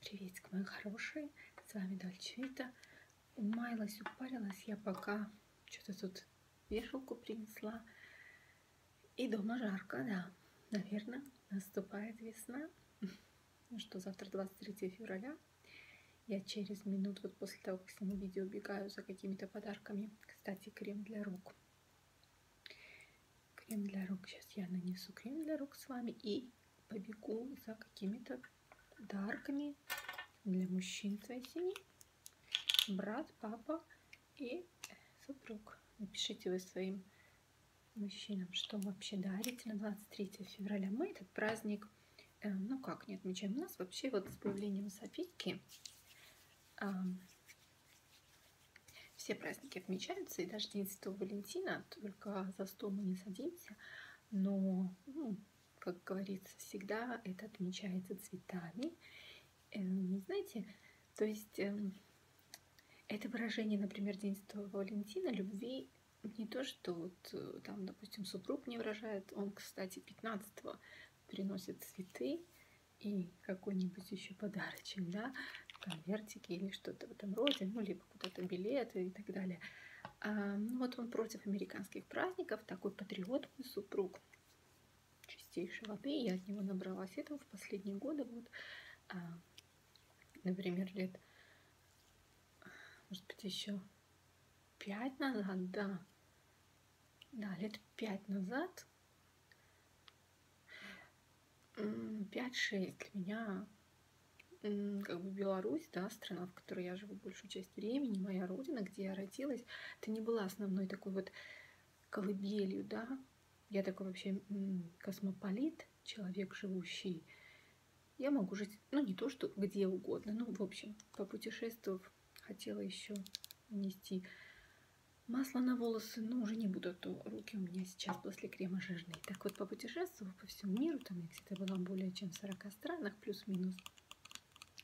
Приветик, мои хорошие, с вами Дольче Вита. Умаялась, упарилась я пока что-то тут вешалку принесла. И дома жарко, да, наверное, наступает весна. Ну что, завтра 23 февраля. Я через минут, вот после того, как сниму видео, бегаю за какими-то подарками. Кстати, крем для рук крем для рук. Сейчас я нанесу крем для рук с вами и побегу за какими-то подарками для мужчин своей семьи. Брат, папа и супруг. Напишите вы своим мужчинам, что вообще дарите на 23 февраля. Мы этот праздник, э, ну как, не отмечаем. У нас вообще вот с появлением Софийки э, все праздники отмечаются, и даже День Святого Валентина, только за стол мы не садимся, но, ну, как говорится, всегда это отмечается цветами. Эм, знаете, то есть эм, это выражение, например, День Святого Валентина, любви не то, что вот э, там, допустим, супруг не выражает, он, кстати, 15-го приносит цветы и какой-нибудь еще подарочек, да, конвертики или что-то в этом роде, ну, либо либо типа, куда-то билеты и так далее. А, ну вот он против американских праздников, такой патриот мой супруг, чистейшей воды. Я от него набралась этого в последние годы. Вот, а, например, лет, может быть, еще пять назад, да, да, лет пять назад 5-6 для меня как бы Беларусь, да, страна, в которой я живу большую часть времени, моя родина, где я родилась, это не была основной такой вот колыбелью, да. Я такой вообще космополит, человек, живущий. Я могу жить, ну, не то, что где угодно, ну, в общем, попутешествовав, хотела еще нести масло на волосы, но уже не буду то, то руки у меня сейчас после крема жирные. Так вот, попутешествовав по всему миру, там я где-то была более чем в 40 странах, плюс-минус.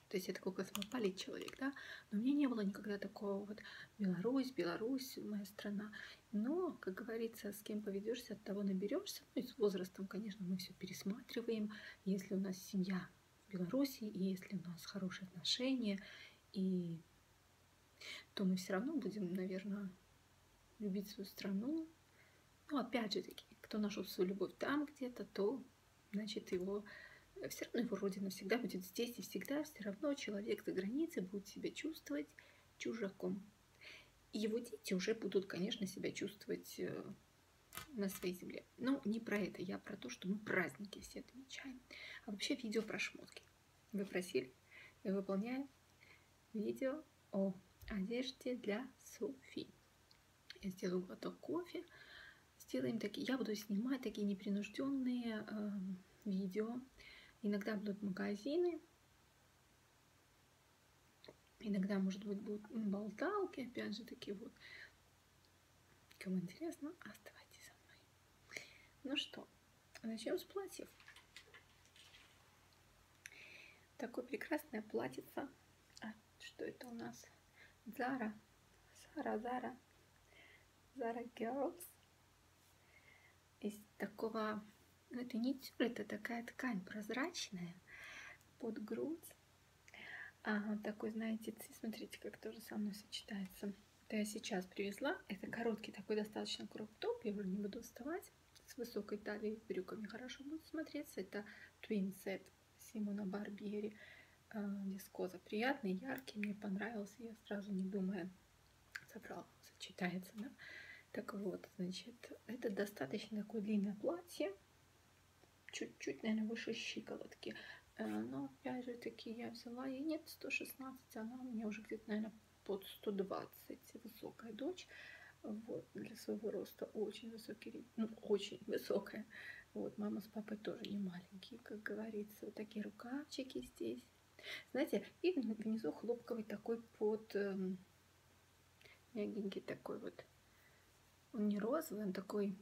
То есть я такой космополит человек, да, но у меня не было никогда такого вот Беларусь, Беларусь, моя страна. Но, как говорится, с кем поведешься, от того наберешься. Ну и с возрастом, конечно, мы все пересматриваем. Если у нас семья в Беларуси, и если у нас хорошие отношения, и то мы все равно будем, наверное, любить свою страну. Но опять же таки, кто нашел свою любовь там где-то, то, значит, его э, все равно его родина всегда будет здесь, и всегда все равно человек за границей будет себя чувствовать чужаком. И его дети уже будут, конечно, себя чувствовать э, на своей земле. Но не про это, я а про то, что мы праздники все отмечаем. А вообще видео про шмотки. Вы просили, и выполняем видео о одежде для Софи. Я сделаю глоток кофе. Сделаем такие, я буду снимать такие непринужденные э, видео. Иногда будут магазины, иногда, может быть, будут болталки, опять же, такие вот. Кому интересно, оставайтесь со мной. Ну что, Начнем с платьев. Такое прекрасное платьице. А, что это у нас? Зара. Зара, Зара. Зара Girls. Из такого... Ну, это не тюль, это такая ткань прозрачная под грудь. А, такой, знаете, смотрите, как тоже со мной сочетается. Это я сейчас привезла. Это короткий такой достаточно кроп-топ. Я уже не буду вставать. С высокой талией, с брюками хорошо будет смотреться. Это Twin Set Симона Барбери. Дискоза а, приятный, яркий, мне понравился. Я сразу не думая забрала. Сочетается, да? Так вот, значит, это достаточно такое длинное платье. Чуть-чуть, наверное, выше щиколотки. А, но, опять же таки, я взяла, и нет 116, она у меня уже где-то, наверное, под 120, высокая дочь, вот, для своего роста очень высокий, ну, очень высокая. Вот, мама с папой тоже не маленькие, как говорится. Вот такие рукавчики здесь. Знаете, и внизу хлопковый такой под эм, мягенький такой вот. Он не розовый, он такой,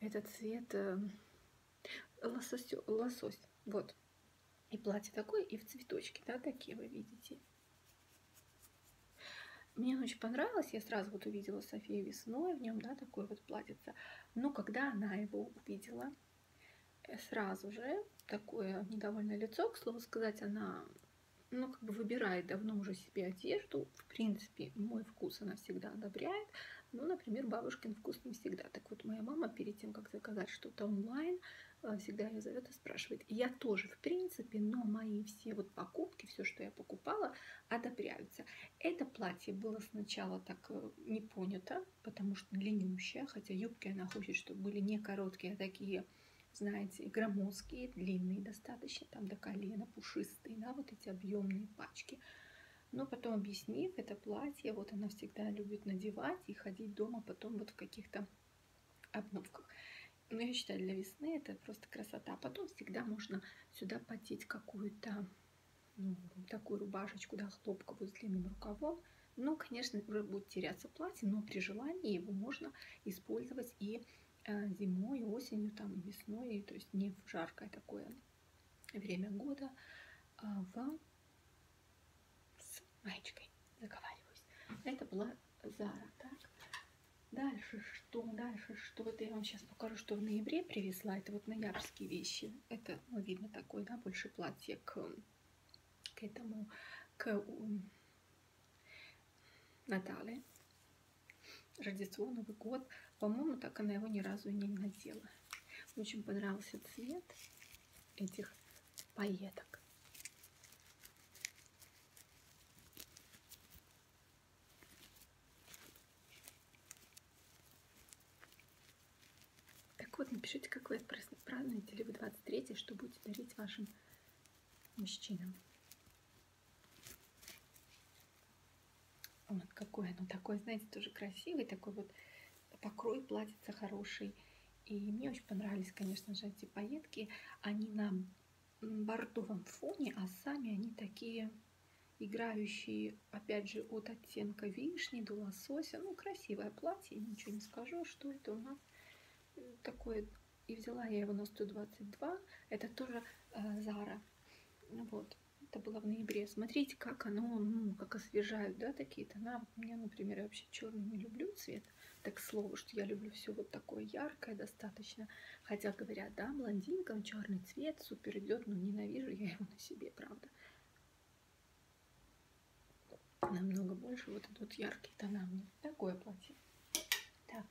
этот цвет, э, лосось, лосось. Вот. И платье такое, и в цветочке, да, такие вы видите. Мне очень понравилось, я сразу вот увидела Софию весной, в нем, да, такое вот платьице. Но когда она его увидела, э, сразу же такое недовольное лицо, к слову сказать, она, ну, как бы выбирает давно уже себе одежду. В принципе, мой вкус она всегда одобряет, но, ну, например, бабушкин вкус не всегда так вот, моя мама перед тем, как заказать что-то онлайн, э, всегда ее зовет и спрашивает. И я тоже, в принципе, но мои все вот покупки, все, что я покупала, одобряются. Это платье было сначала так э, не понято, потому что длиннющее, хотя юбки она хочет, чтобы были не короткие, а такие, знаете, громоздкие, длинные достаточно, там до колена, пушистые, да, вот эти объемные пачки но потом объяснив, это платье, вот она всегда любит надевать и ходить дома потом вот в каких-то обновках. Но я считаю, для весны это просто красота. А потом всегда можно сюда потеть какую-то ну, такую рубашечку, да, хлопковую с длинным рукавом. Ну, конечно, уже будет теряться платье, но при желании его можно использовать и э, зимой, и осенью, там, и весной, то есть не в жаркое такое время года. А, в... с маечкой. Заговариваюсь. Это была Зара. Так. Дальше что? Дальше что? Это я вам сейчас покажу, что в ноябре привезла. Это вот ноябрьские вещи. Это, ну, видно, такое, да, больше платье к, к этому, к у... Наталье. Рождество, Новый год. По-моему, так она его ни разу и не надела. Очень понравился цвет этих поеток. Так вот, напишите, как вы празднуете, либо 23 что будете дарить вашим мужчинам. Вот какое оно такое, знаете, тоже красивое, такой вот покрой платьица хороший. И мне очень понравились, конечно же, эти пайетки. Они на бордовом фоне, а сами они такие играющие, опять же, от оттенка вишни до лосося. Ну, красивое платье, ничего не скажу, что это у нас э, такое. И взяла я его на 122, это тоже э, Зара. Вот это было в ноябре. Смотрите, как оно, ну, как освежают, да, такие тона. Вот мне, например, я вообще черный не люблю цвет, так слово, что я люблю все вот такое яркое достаточно. Хотя говорят, да, блондинкам черный цвет супер идет, но ненавижу я его на себе, правда. Намного больше вот идут яркие тона мне. Такое платье. Так,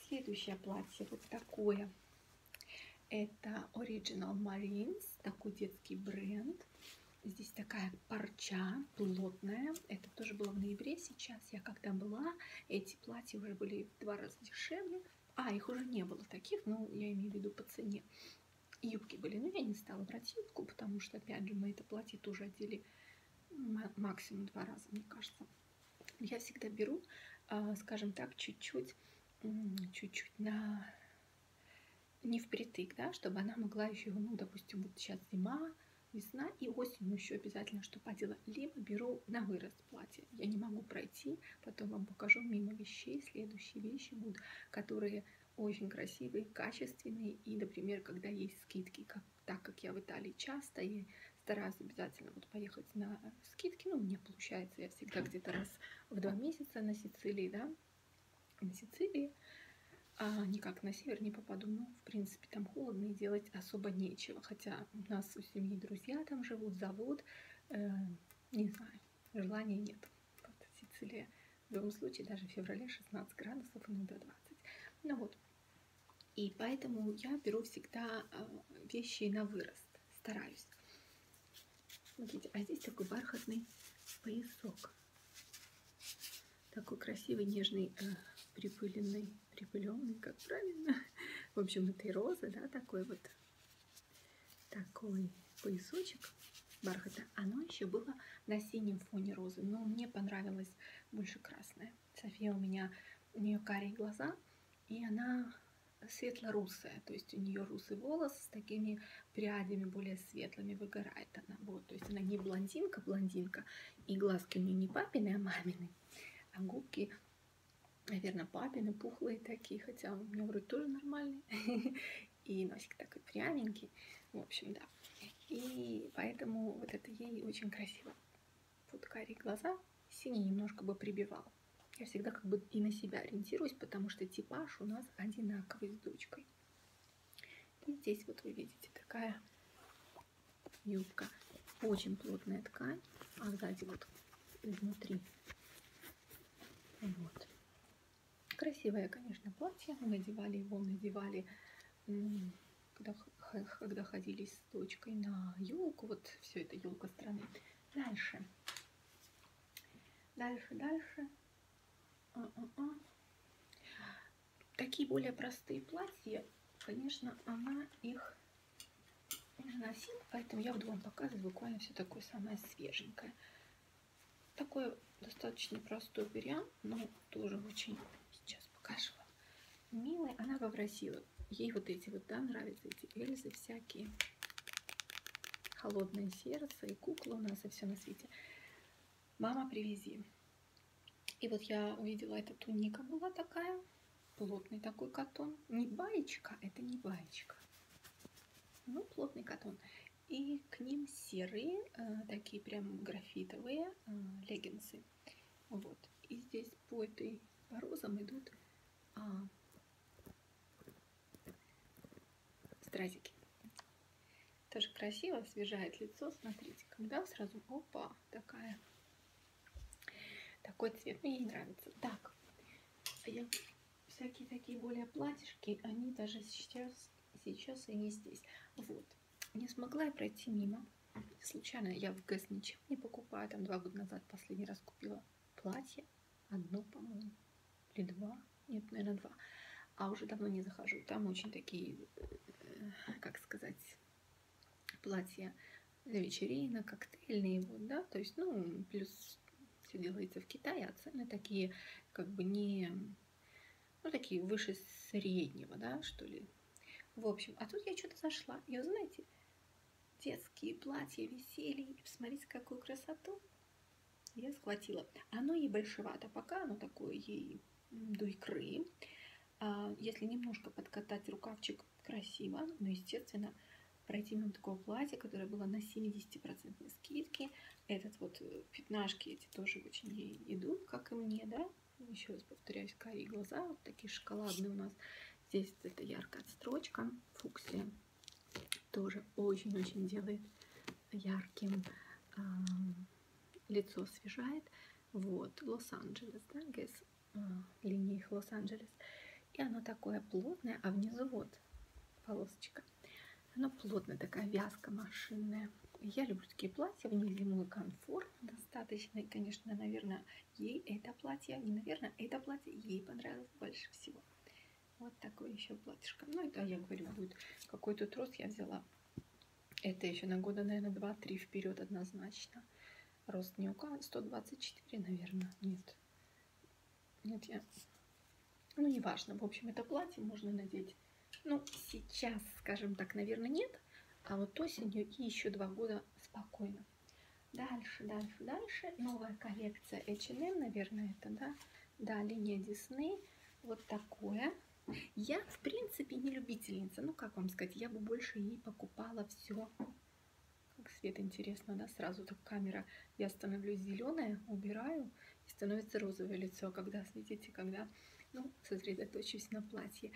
следующее платье вот такое. Это Original Marines, такой детский бренд. Здесь такая парча плотная. Это тоже было в ноябре. Сейчас я когда была, эти платья уже были в два раза дешевле. А, их уже не было таких, но ну, я имею в виду по цене. Юбки были, но я не стала брать юбку, потому что, опять же, мы это платье тоже одели максимум два раза, мне кажется. Я всегда беру, а, скажем так, чуть-чуть, чуть-чуть на не впритык, да, чтобы она могла еще, ну, допустим, вот сейчас зима, весна и осенью еще обязательно что одела. Либо беру на вырост платье. Я не могу пройти, потом вам покажу мимо вещей. Следующие вещи будут, которые очень красивые, качественные. И, например, когда есть скидки, как, так как я в Италии часто, и стараюсь обязательно вот поехать на скидки. Ну, мне получается, я всегда где-то раз в два месяца на Сицилии, да, на Сицилии, а никак на север не попаду, но, в принципе, там холодно и делать особо нечего. Хотя у нас у семьи друзья там живут, завод, э, не знаю, желания нет. Вот Сицилия. В любом случае, даже в феврале 16 градусов, а иногда 20. Ну вот. И поэтому я беру всегда э, вещи на вырост стараюсь. Смотрите, а здесь такой бархатный поясок. Такой красивый, нежный, э, припыленный, припыленный, как правильно. В общем, этой розы, да, такой вот, такой поясочек бархата. Оно еще было на синем фоне розы, но мне понравилось больше красное. София у меня, у нее карие глаза, и она светло-русая, то есть у нее русый волос с такими прядями более светлыми выгорает она. Вот, то есть она не блондинка, блондинка, и глазки у нее не папины, а мамины, а губки, наверное, папины, пухлые такие, хотя у меня вроде тоже нормальный, и носик такой пряменький, в общем, да. И поэтому вот это ей очень красиво. Вот карие глаза, синий немножко бы прибивал. Я всегда как бы и на себя ориентируюсь, потому что типаж у нас одинаковый с дочкой. И здесь вот вы видите такая юбка. Очень плотная ткань, а сзади вот изнутри. Вот. Красивое, конечно, платье. Мы надевали его, надевали, когда, когда ходили с дочкой на елку. Вот все это елка страны. Дальше. Дальше, дальше. А -а -а. Такие более простые платья, конечно, она их не носила, поэтому я буду вам показывать буквально все такое самое свеженькое. Такой достаточно простой вариант, но тоже очень, сейчас покажу вам, милый. Она попросила, ей вот эти вот, да, нравятся эти Эльзы всякие холодное сердце, и кукла у нас, и все на свете. Мама, привези. И вот я увидела, эта туника была такая, плотный такой катон. Не баечка, это не баечка. Ну, плотный катон. И к ним серые, э, такие прям графитовые э, леггинсы. Вот. И здесь по этой по розам идут а, Стразики. Тоже красиво, освежает лицо. Смотрите, когда сразу, опа, такая. Такой цвет мне не нравится. Так, а я всякие такие более платьишки, они даже сейчас, сейчас и не здесь. Вот, не смогла я пройти мимо. Случайно я в ГЭС ничего не покупаю. Там два года назад последний раз купила платье одно, по-моему, или два. Нет, наверное, два. А уже давно не захожу. Там очень такие, э, как сказать, платья для вечеринок, коктейльные, вот, да. То есть, ну, плюс все делается в Китае, а цены такие, как бы не, ну, такие выше среднего, да, что ли. В общем, а тут я что-то зашла. И, знаете, детские платья висели. И посмотрите, какую красоту. Я схватила. Оно ей большевато, пока оно такое ей до икры. А, если немножко подкатать рукавчик, красиво. Но, естественно, пройти мимо такого платья, которое было на 70% скидке. Этот вот э, пятнашки эти тоже очень ей идут, как и мне, да. Еще раз повторяюсь, карие глаза, вот такие шоколадные у нас. Здесь вот эта яркая отстрочка, фуксия тоже очень-очень делает ярким, э, лицо освежает. Вот, Лос-Анджелес, да, Гэс, э, а, линии их Лос-Анджелес. И оно такое плотное, а внизу вот полосочка. Оно плотное, такая вязка машинная. Я люблю такие платья, в них зимой комфортно достаточно. И, конечно, наверное, ей это платье, не наверное, это платье ей понравилось больше всего. Вот такое еще платьишко. Ну, это, я говорю, будет какой-то трос я взяла. Это еще на года, наверное, 2-3 вперед однозначно. Рост не указан, 124, наверное, нет. Нет, я... Ну, неважно. В общем, это платье можно надеть. Ну, сейчас, скажем так, наверное, нет. А вот осенью и еще два года спокойно. Дальше, дальше, дальше. Новая коллекция H&M, наверное, это, да? Да, линия Дисней. Вот такое. Я, в принципе, не любительница. Ну, как вам сказать, я бы больше и покупала все. Как свет интересно, да? Сразу так камера. Я становлюсь зеленая, убираю, и становится розовое лицо, когда светите, когда, ну, сосредоточусь на платье.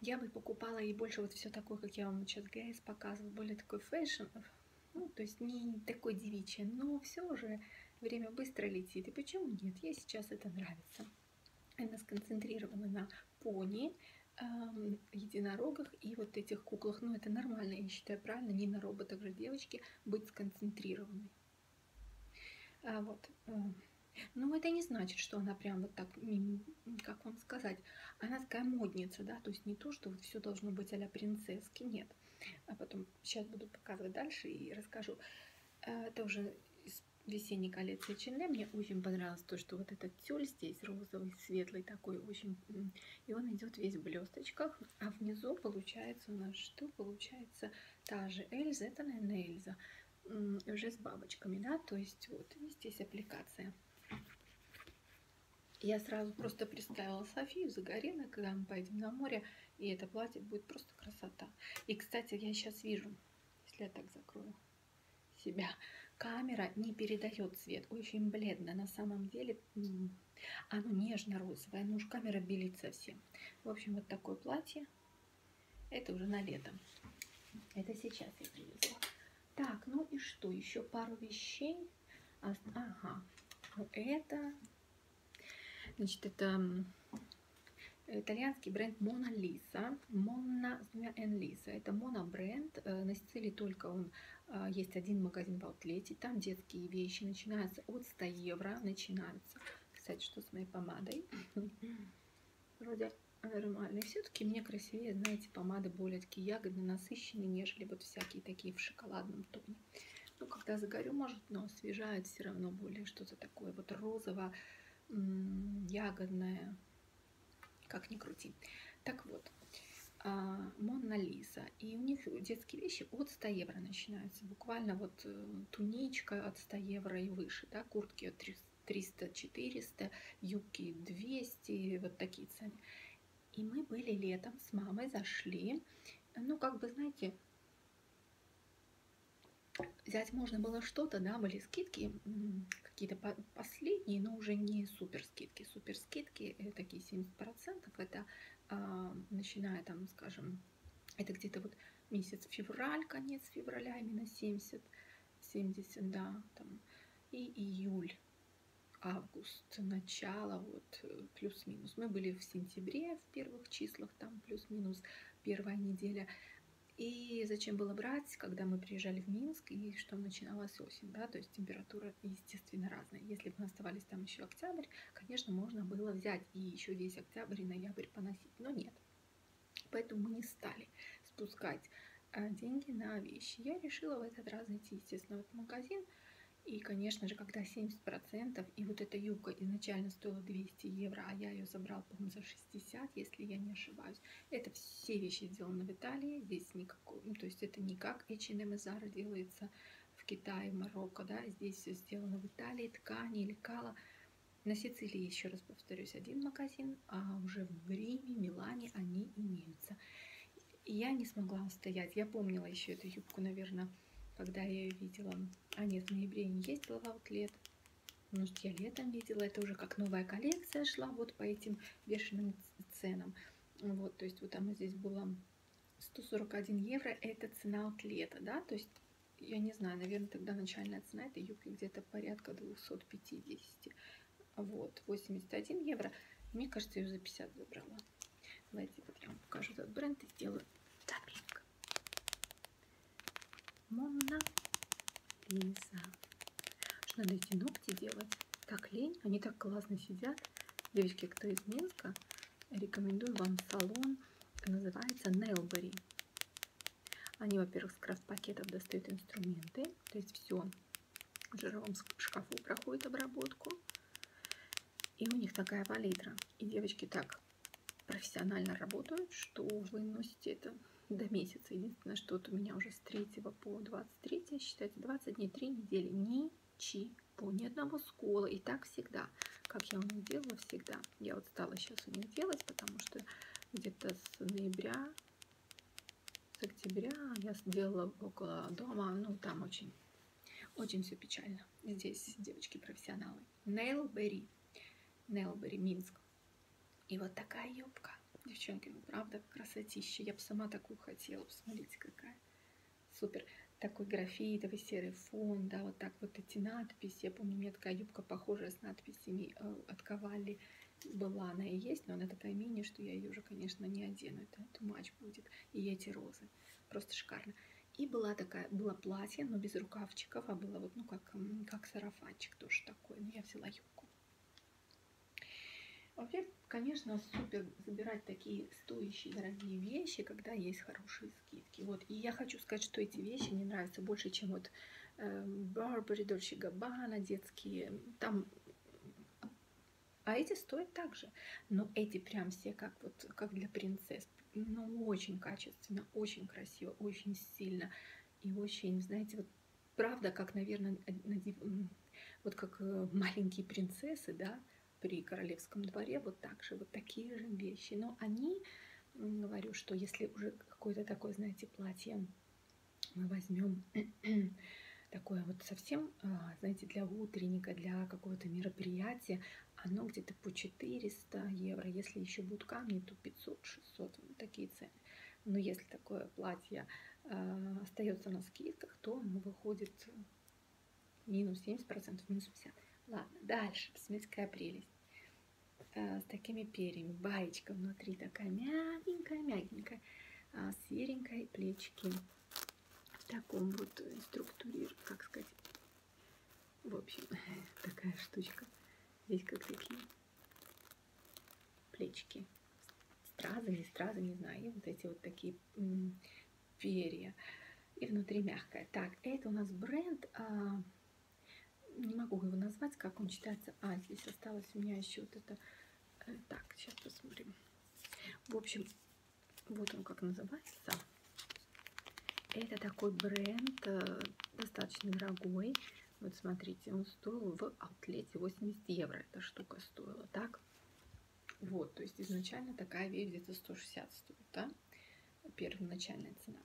Я бы покупала и больше вот все такое, как я вам сейчас стараюсь показывать более такой фэшн, ну, то есть не такой девичий, но все уже время быстро летит. И почему нет? Я сейчас это нравится. Она сконцентрирована на пони, эм, единорогах и вот этих куклах. Но ну, это нормально, я считаю правильно, не на роботах же девочки быть сконцентрированной. А вот. Э, ну, это не значит, что она прям вот так, как вам вам сказать, она такая модница, да, то есть не то, что вот все должно быть а-ля принцесски, нет. А потом сейчас буду показывать дальше и расскажу. А, это уже из весенней коллекции H&M. Мне очень понравилось то, что вот этот тюль здесь розовый, светлый такой, очень... И он идет весь в блесточках. А внизу получается у нас что? Получается та же Эльза. Это, наверное, Эльза. Уже с бабочками, да? То есть вот здесь аппликация. Я сразу просто представила Софию Загорина, когда мы поедем на море, и это платье будет просто красота. И, кстати, я сейчас вижу, если я так закрою себя, камера не передает цвет, очень бледно. На самом деле оно нежно-розовое, но ну уж камера белит совсем. В общем, вот такое платье. Это уже на лето. Это сейчас я привезла. Так, ну и что? Еще пару вещей. А, ага. Ну, это, значит, это итальянский бренд Мона Лиса. Мона с двумя Н Лиса. Это моно бренд. Э, на Сицилии только он э, есть один магазин в аутлете. Там детские вещи начинаются от 100 евро. Начинаются. Кстати, что с моей помадой? Вроде нормальный. Все-таки мне красивее, знаете, помады более такие ягодные, насыщенные, нежели вот всякие такие в шоколадном тоне. Ну, когда загорю, может, но освежает все равно более что-то такое вот розово-ягодное, как ни крути. Так вот, а, Монна Лиза. И у них детские вещи от 100 евро начинаются. Буквально вот э, туничка от 100 евро и выше, да, куртки от 300 300-400, юбки 200, вот такие цены. И мы были летом с мамой, зашли. Ну, как бы, знаете, взять можно было что-то, да, были скидки, какие-то последние, но уже не супер скидки. Супер скидки, э, такие 70%, это а, начиная там, скажем, это где-то вот месяц февраль, конец февраля, именно 70 70, да, там, и июль, август, начало, вот, э, плюс-минус. Мы были в сентябре в первых числах, там, плюс-минус, первая неделя. И зачем было брать, когда мы приезжали в Минск, и что начиналась осень, да, то есть температура, естественно, разная. Если бы мы оставались там еще октябрь, конечно, можно было взять и еще весь октябрь и ноябрь поносить, но нет. Поэтому мы не стали спускать а, деньги на вещи. Я решила в этот раз зайти, естественно, в этот магазин. И, конечно же, когда 70%, и вот эта юбка изначально стоила 200 евро, а я ее забрал, по-моему, за 60, если я не ошибаюсь. Это все вещи сделаны в Италии, здесь никакого, ну, то есть это не как H&M и Zara делается в Китае, в Марокко, да, здесь все сделано в Италии, ткани, лекала. На Сицилии, еще раз повторюсь, один магазин, а уже в Риме, Милане они имеются. И я не смогла устоять. Я помнила еще эту юбку, наверное, когда я ее видела. А нет, в ноябре не ездила в аутлет. Может, я летом видела. Это уже как новая коллекция шла вот по этим бешеным ценам. Вот, то есть вот она здесь была 141 евро. Это цена аутлета, да? То есть, я не знаю, наверное, тогда начальная цена этой юбки скидкой где-то порядка 250. Вот, 81 евро. Мне кажется, ее за 50 выбрала. Давайте вот я вам покажу этот бренд и сделаю запинг. Монна Лиза. Что надо эти ногти делать? Так лень, они так классно сидят. Девочки, кто из Минска, рекомендую вам салон. Называется Nailberry. Они, во-первых, с крафт-пакетов достают инструменты, то есть все в жировом шкафу проходит обработку. И у них такая палитра. И девочки так профессионально работают, что вы носите это до месяца. Единственное, что вот у меня уже с 3 по 23, считайте, 20 дней, 3 недели. Ничего, ни одного скола. И так всегда, как я у них делала всегда. Я вот стала сейчас у них делать, потому что где-то с ноября с октября я сделала около дома, ну там очень, очень все печально. Здесь девочки-профессионалы. Нейлбери, Нейлбери, Минск. И вот такая юбка. Девчонки, ну правда красотища. Я бы сама такую хотела. Посмотрите, какая. Супер. Такой графитовый серый фон, да, вот так вот эти надписи. Я помню, у меня такая юбка похожая с надписями э, от Кавалли была она и есть, но она такая мини, что я ее уже, конечно, не одену. Это тумач будет. И эти розы. Просто шикарно. И была такая, было платье, но без рукавчиков, а было вот, ну, как, как сарафанчик тоже такой. Но ну, я взяла юбку. Вообще, конечно, супер забирать такие стоящие дорогие вещи, когда есть хорошие скидки. Вот. И я хочу сказать, что эти вещи мне нравятся больше, чем вот Эм, Барбари, Дольче Габбана, детские, там а эти стоят так же. Но эти прям все как вот как для принцесс. Ну, очень качественно, очень красиво, очень сильно. И очень, знаете, вот правда, как, наверное, вот как э, маленькие принцессы, да, при королевском дворе, вот так же, вот такие же вещи. Но они говорю, что если уже какое-то такое, знаете, платье мы возьмем такое вот совсем, а, знаете, для утренника, для какого-то мероприятия, оно где-то по 400 евро. Если еще будут камни, то 500-600, ну, такие цены. Но если такое платье э, остается на скидках, то оно выходит минус 70%, минус 50%. Ладно, дальше, посмотрите, какая прелесть. Э, с такими перьями. Баечка внутри такая мягенькая-мягенькая, а с серенькой плечки. В таком вот структуре, как сказать, в общем, такая штучка. Здесь как такие плечки. Стразы или стразы, не знаю. И вот эти вот такие перья. И внутри мягкая. Так, это у нас бренд а, не могу его назвать, как он читается. А, здесь осталось у меня еще вот это. Э, так, сейчас посмотрим. В общем, вот он как называется. Это такой бренд, э, достаточно дорогой. Вот смотрите, он стоил в аутлете 80 евро. Эта штука стоила, так? Вот, то есть изначально такая вещь где-то 160 стоит, да? Первоначальная цена.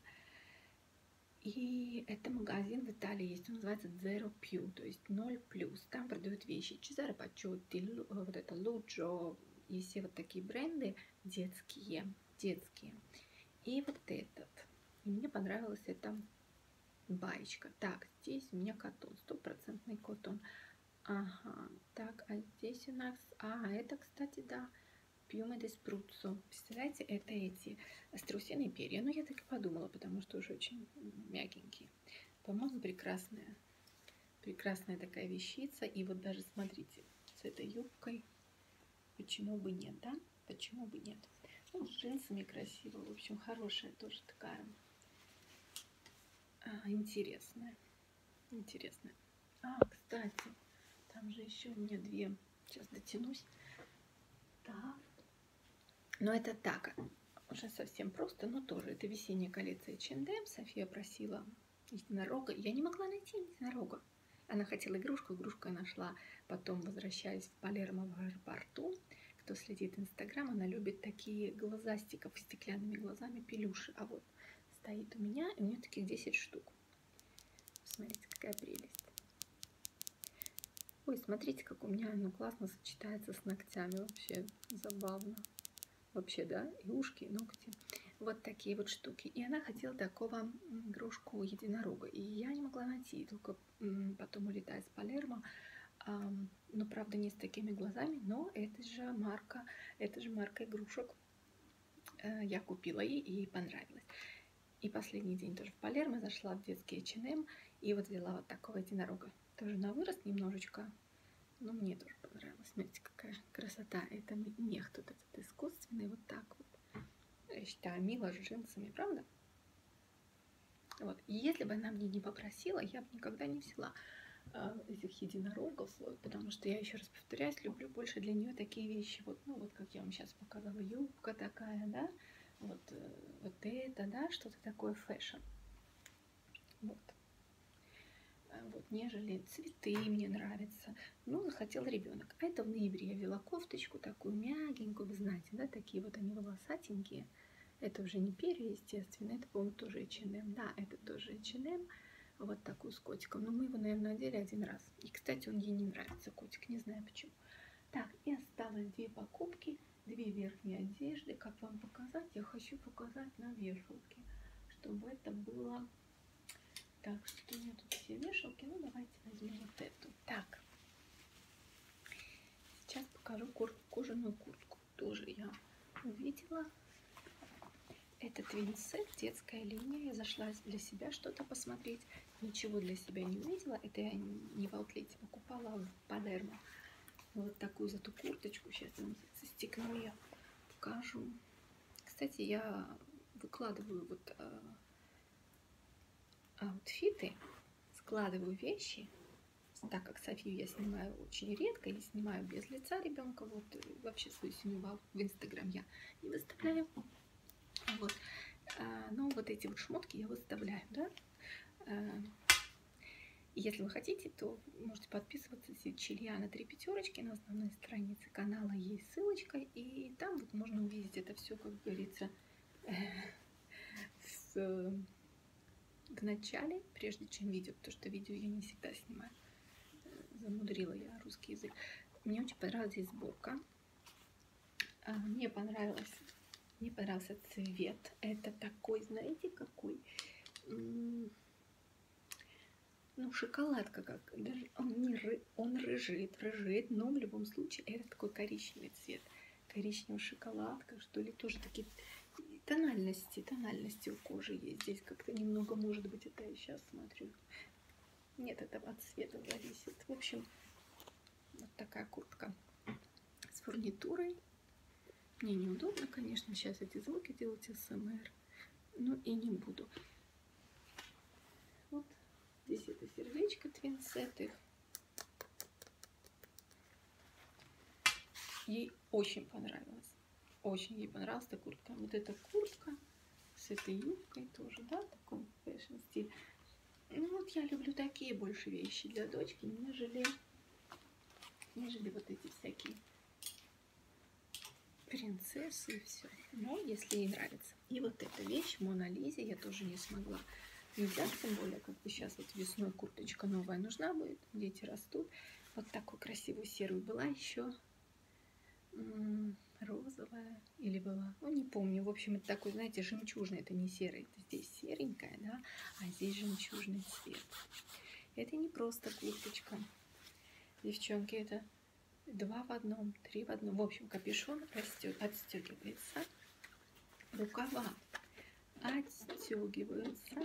И это магазин в Италии есть, он называется Zero Pew, то есть 0 плюс. Там продают вещи Чезаро Пачотти, э, вот это Луджо и все вот такие бренды детские, детские. И вот этот. И мне понравилась эта баечка. Так, здесь у меня котон, стопроцентный котон. Ага, так, а здесь у нас... А, это, кстати, да, Пьюме де Спруццо. Представляете, это эти страусиные перья. Ну, я так и подумала, потому что уже очень мягенькие. По-моему, прекрасная. Прекрасная такая вещица. И вот даже, смотрите, с этой юбкой. Почему бы нет, да? Почему бы нет? Ну, с джинсами красиво. В общем, хорошая тоже такая. А, интересная. Интересная. А, кстати, там же еще у меня две Сейчас дотянусь. Так. Но это так, уже совсем просто, но тоже. Это весенняя коллекция H&M. София просила единорога. Я не могла найти единорога. Она хотела игрушку, игрушку я нашла. Потом возвращаюсь в Палермо в аэропорту. Кто следит Инстаграм, она любит такие глазастиков стеклянными глазами пелюши. А вот стоит у меня, и у меня таких 10 штук. Смотрите, какая прелесть. Ой, смотрите, как у меня оно классно сочетается с ногтями. Вообще забавно. Вообще, да, и ушки, и ногти. Вот такие вот штуки. И она хотела такого игрушку единорога. И я не могла найти, только потом улетая с Палермо. Но, правда, не с такими глазами, но это же марка, это же марка игрушек Э, я купила ей, и ей понравилось. И последний день тоже в Палермо зашла в детский H&M и вот взяла вот такого единорога. Тоже на вырост немножечко, но мне тоже понравилось. Смотрите, какая красота. Это мех тут этот искусственный, вот так вот. Я считаю, мило с джинсами, правда? Вот. И если бы она мне не попросила, я бы никогда не взяла э, этих единорогов, потому что я еще раз повторяюсь, люблю больше для нее такие вещи, вот, ну вот как я вам сейчас сейчас показала, юбка такая, да, вот, э, вот это, да, что-то такое фэшн. Вот. А вот, нежели цветы мне нравятся. Ну, захотел ребенок. А это в ноябре я вела кофточку такую мягенькую, вы знаете, да, такие вот они волосатенькие. Это уже не перья, естественно, это, по-моему, тоже H&M. Да, это тоже H&M, вот такую с котиком. Но мы его, наверное, надели один раз раз. И, кстати, он ей не нравится, котик, не знаю почему. Так, и осталось две покупки, две верхние одежды. Как вам показать? Я хочу показать на вешалке, чтобы это было... Так, что у меня тут все вешалки. Ну, давайте возьмем вот эту. Так, сейчас покажу кожаную куртку. Тоже я увидела. Это твинсы, детская линия. Я зашла для себя что-то посмотреть. Ничего для себя не увидела. Это я не в аутлете покупала, а в Падермо. Вот такую зато курточку. Сейчас я застегну ее, покажу. Кстати, я выкладываю вот э, аутфиты, складываю вещи. Так как Софию я снимаю очень редко и снимаю без лица ребенка, вот э, вообще свою семью в Инстаграм я не выставляю. Вот. А, Но ну, вот эти вот шмотки я выставляю, да. А, если вы хотите, то можете подписываться Сичильяна Три Пятерочки. На основной странице канала есть ссылочка. И там вот можно увидеть это все, как говорится, в, в начале, прежде чем видео. Потому что видео я не всегда снимаю. Замудрила я русский язык. Мне очень понравилась здесь сборка. А, мне понравилось, мне понравился цвет. Это такой, знаете, какой? Ну, шоколадка как. Даже он, не ры, он рыжит, рыжит, но в любом случае это такой коричневый цвет. Коричневая шоколадка, что ли, тоже такие тональности, тональности у кожи есть. Здесь как-то немного, может быть, это я сейчас смотрю. Нет, это от цвета зависит. В общем, вот такая куртка с фурнитурой. Мне неудобно, конечно, сейчас эти звуки делать СМР. Ну и не буду. Вот здесь это сердечко твинсет их. Ей очень понравилось. Очень ей понравилась эта куртка. Вот эта куртка с этой юбкой тоже, да, такой фэшн-стиль. Ну вот я люблю такие больше вещи для дочки, нежели, нежели вот эти всякие принцессы и все. Но если ей нравится. И вот эта вещь, Мона Лизе, я тоже не смогла не взять, тем более, как бы сейчас вот весной курточка новая нужна будет, дети растут. Вот такой красивый серый была еще розовая или была, ну не помню, в общем, это такой, знаете, жемчужный, это не серый, это здесь серенькая, да, а здесь жемчужный цвет. Это не просто курточка, девчонки, это два в одном, три в одном, в общем, капюшон растет, отстегивается, рукава отстегиваются,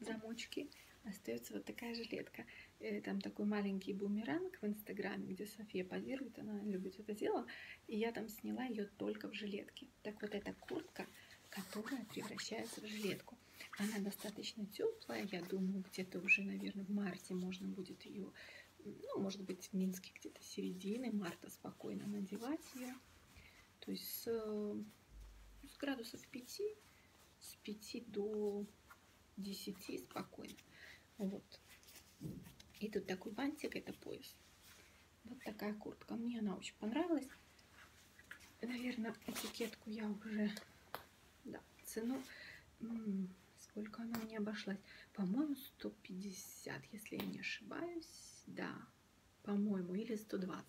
замочки, остается вот такая жилетка. Э, там такой маленький бумеранг в Инстаграме, где София позирует, она любит это дело, и я там сняла ее только в жилетке. Так вот эта куртка, которая превращается в жилетку. Она достаточно теплая, я думаю, где-то уже, наверное, в марте можно будет ее, ну, может быть, в Минске где-то середины марта спокойно надевать ее. То есть с, э, с градусов 5 с 5 до 10 спокойно. Вот. И тут такой бантик, это пояс. Вот такая куртка. Мне она очень понравилась. Наверное, этикетку я уже... Да, цену... Сколько она мне обошлась? По-моему, 150, если я не ошибаюсь. Да, по-моему, или 120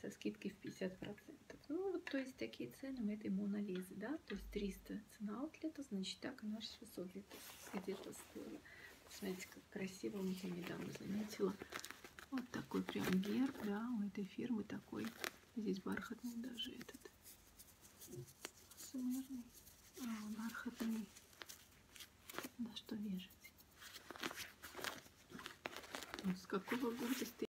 со скидкой в 50%. Ну, вот, то есть, такие цены у этой Монолизы, да, то есть 300 цена аутлета, значит, так она 600 где-то где стоила. Смотрите, как красиво, вот я недавно заметила. Вот такой прям герб, да, у этой фирмы такой. Здесь бархатный даже этот. Сумерный. А, бархатный. На что вешать? Ну, с какого года стоит?